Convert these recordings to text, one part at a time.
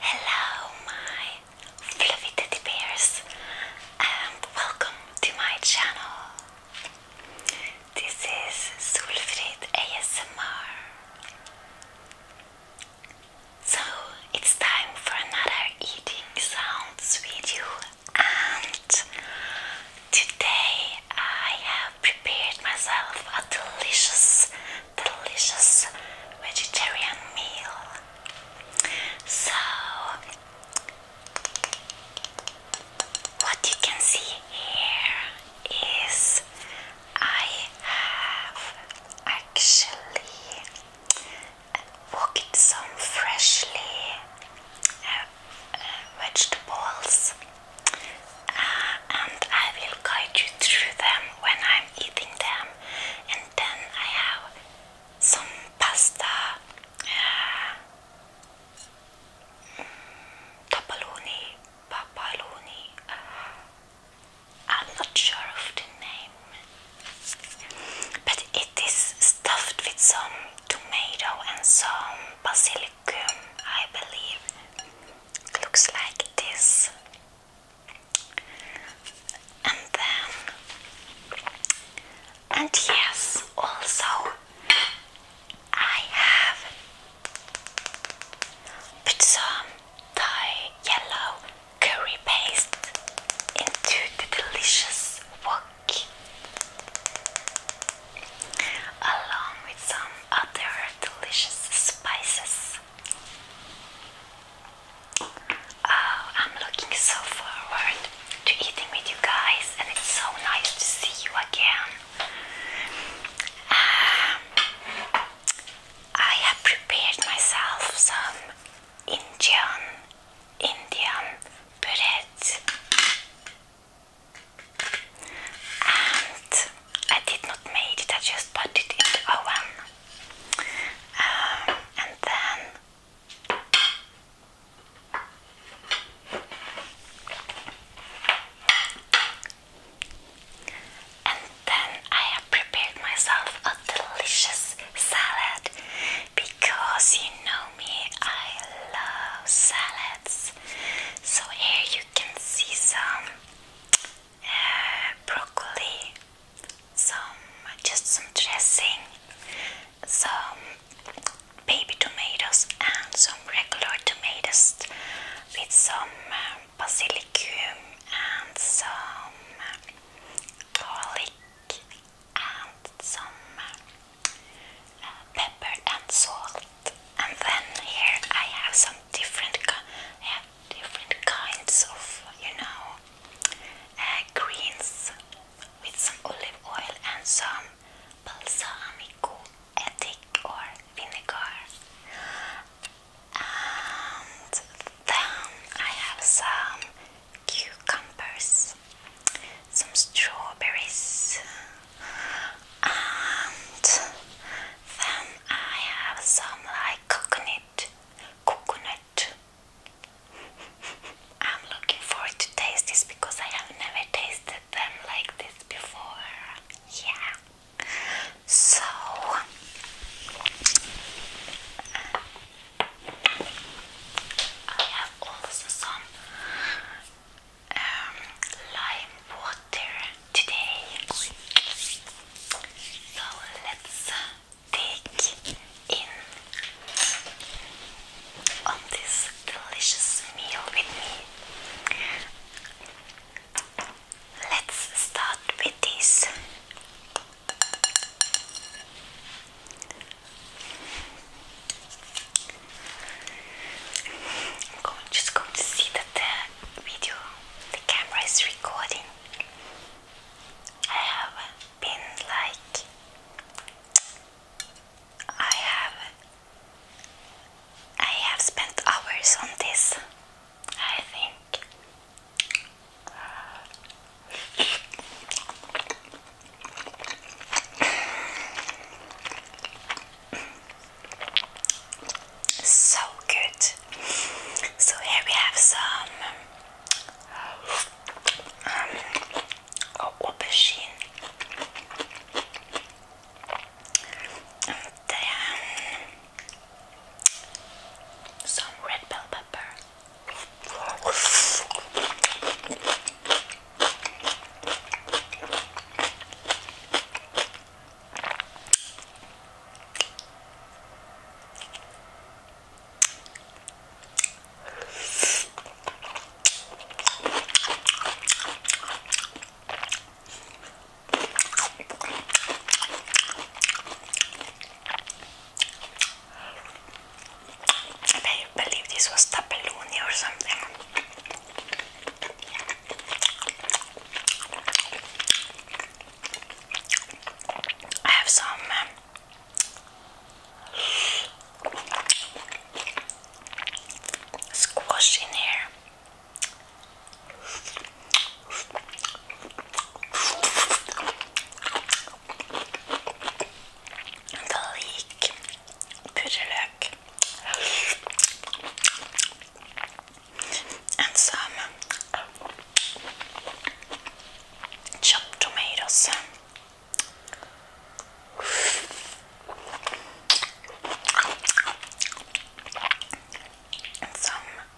Hello, my fluffy teddy bears, and welcome to my channel. This is Sulfrid ASMR. So it's time for another eating sounds video, and today I have prepared myself a delicious, delicious vegetarian meal. So, what you can see here is I have actually cook it some freshly uh, uh, vegetables uh, and I will guide you through them when I'm eating them and then I have some pasta uh, mm, Tapaloni, I'm not sure of the name, but it is stuffed with some tomato and some basilicum, I believe. It looks like this. And then, and yes, also, I have put some Thai yellow curry paste into the delicious wok along with some other delicious spices. Oh, I'm looking so forward to eating with you guys, and it's so nice to see you again. Um, I have prepared myself some Indian, Indian bread, and I did not make it. I just put it in the oven, um, and then. Then I have prepared myself a delicious salad because you know me, I love salads. So here you can see some uh, broccoli, some just some dressing, some baby tomatoes, and some regular tomatoes with some uh, basilicum and some garlic and some uh, pepper and salt. And then here I have some different, have different kinds of, you know, uh, greens with some olive oil and some balsamico, etic or vinegar. And then I have some cucumbers, some strawberries, and then I have some like coconut, coconut. I'm looking forward to taste this because I have never tasted them like this before. Yeah. So I have also some um, lime water today. So let's take in on this delicious meal with me let's start with this. I'm just going to see that the video, the camera is recording. I have been like, I have, I have spent hours on this. I think so good. So here we have some um, aubergine. And some red bell pepper. I believe this was tapeluni or something. I have some um, squash in here. Vellik purreløk. And some chopped tomatoes. And some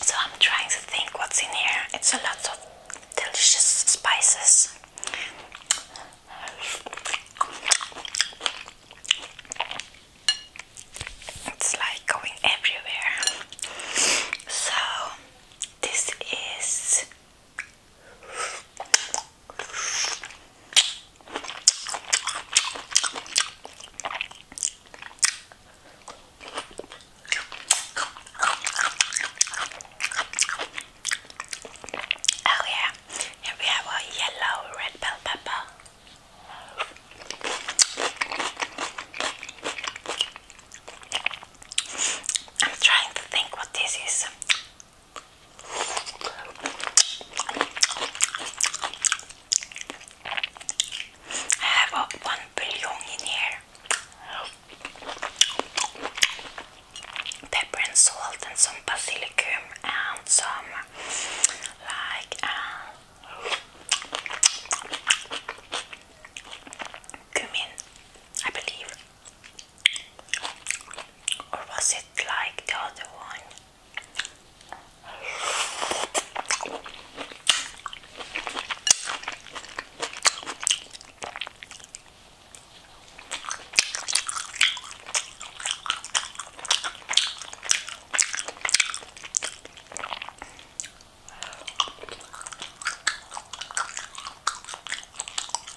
So I'm trying to think what's in here. It's a lot of delicious spices. It's like going everywhere. So this is Oh yeah, here we have a yellow red bell pepper. I'm trying to think what this is. I have uh, one bouillon in here. Pepper and salt and some basilicum and some like uh, cumin, I believe. Or was it like the other one?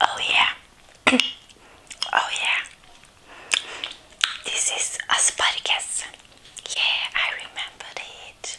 Oh, yeah, oh, yeah, this is asparagus. Yeah, I remembered it.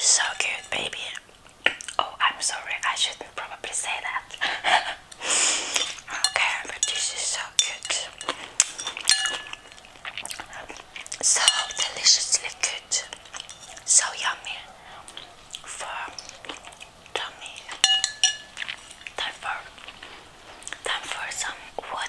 So good, baby. Oh, I'm sorry, I shouldn't probably say that. okay, but this is so good. So deliciously good. So yummy for tummy. Therefore, Time for some water.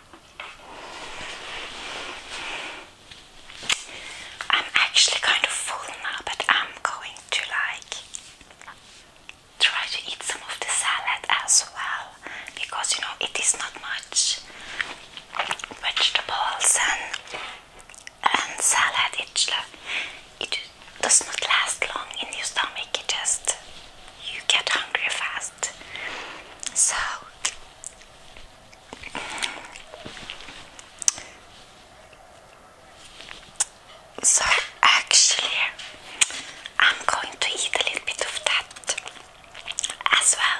I'm actually kind of full now, but I'm going to like try to eat some of the salad as well because you know it is not much vegetables and salad it, it does not last long in your stomach it just you get hungry fast so so actually I'm going to eat a little bit of that as well.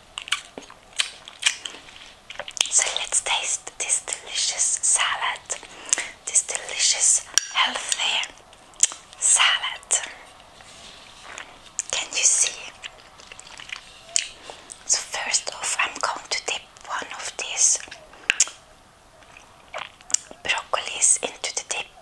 So let's taste this delicious salad, this delicious healthy salad. Can you see? So first off, I'm going to dip one of these broccolis into the dip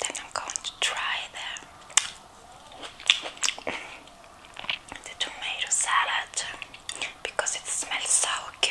then I'm going to try the the tomato salad because it smells so good.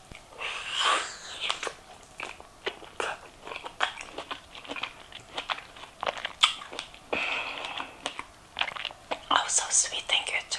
Oh, so sweet and good.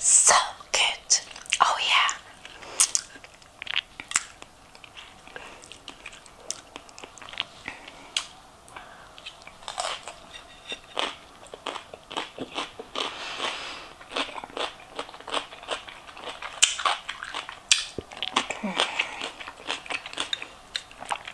So good. Oh, yeah.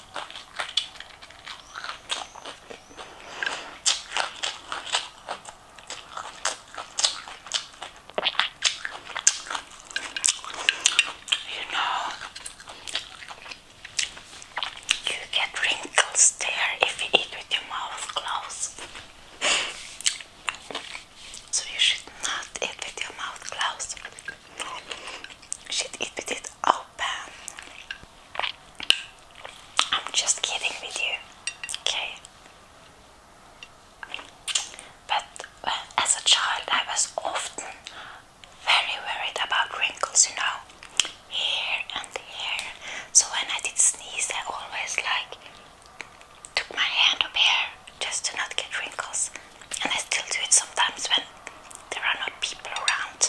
You know, you get wrinkles there if you eat with your mouth closed. So you should not eat with your mouth closed. Shit, it with it open. Oh, I'm just kidding with you. Okay. But uh, as a child, I was often very worried about wrinkles, you know, here and here. So when I did sneeze, I always like took my hand up here just to not get wrinkles and I still do it sometimes when there are not people around.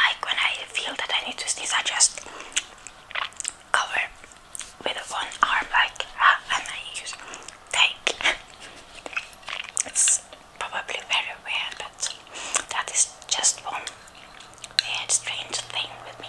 like when I feel that I need to sneeze, I just cover with one arm, like, ah, and I use tape. it's probably very weird, but that is just one weird, strange thing with me.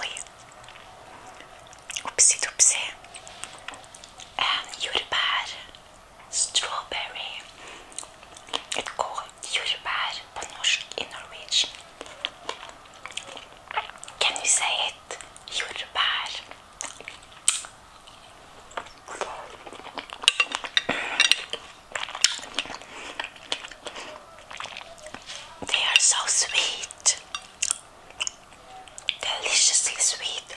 Oi, oopsie doopsie, um, strawberry. It's called jordbær på norsk i Norwegian. Can you say it? Jordbær. They are so sweet, deliciously sweet.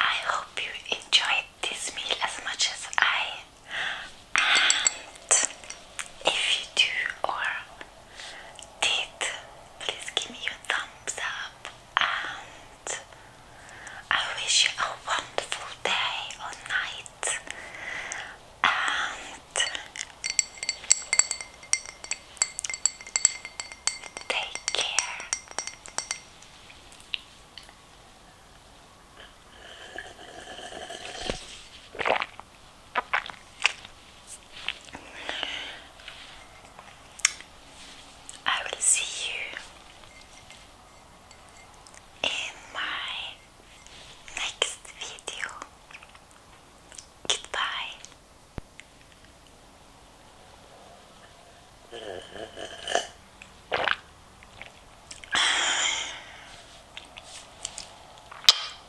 I hope you enjoyed this meal as much as I and if you do or did, please give me your thumbs up and I wish you a wonderful day or night and take care. I will see you in my next video. Goodbye.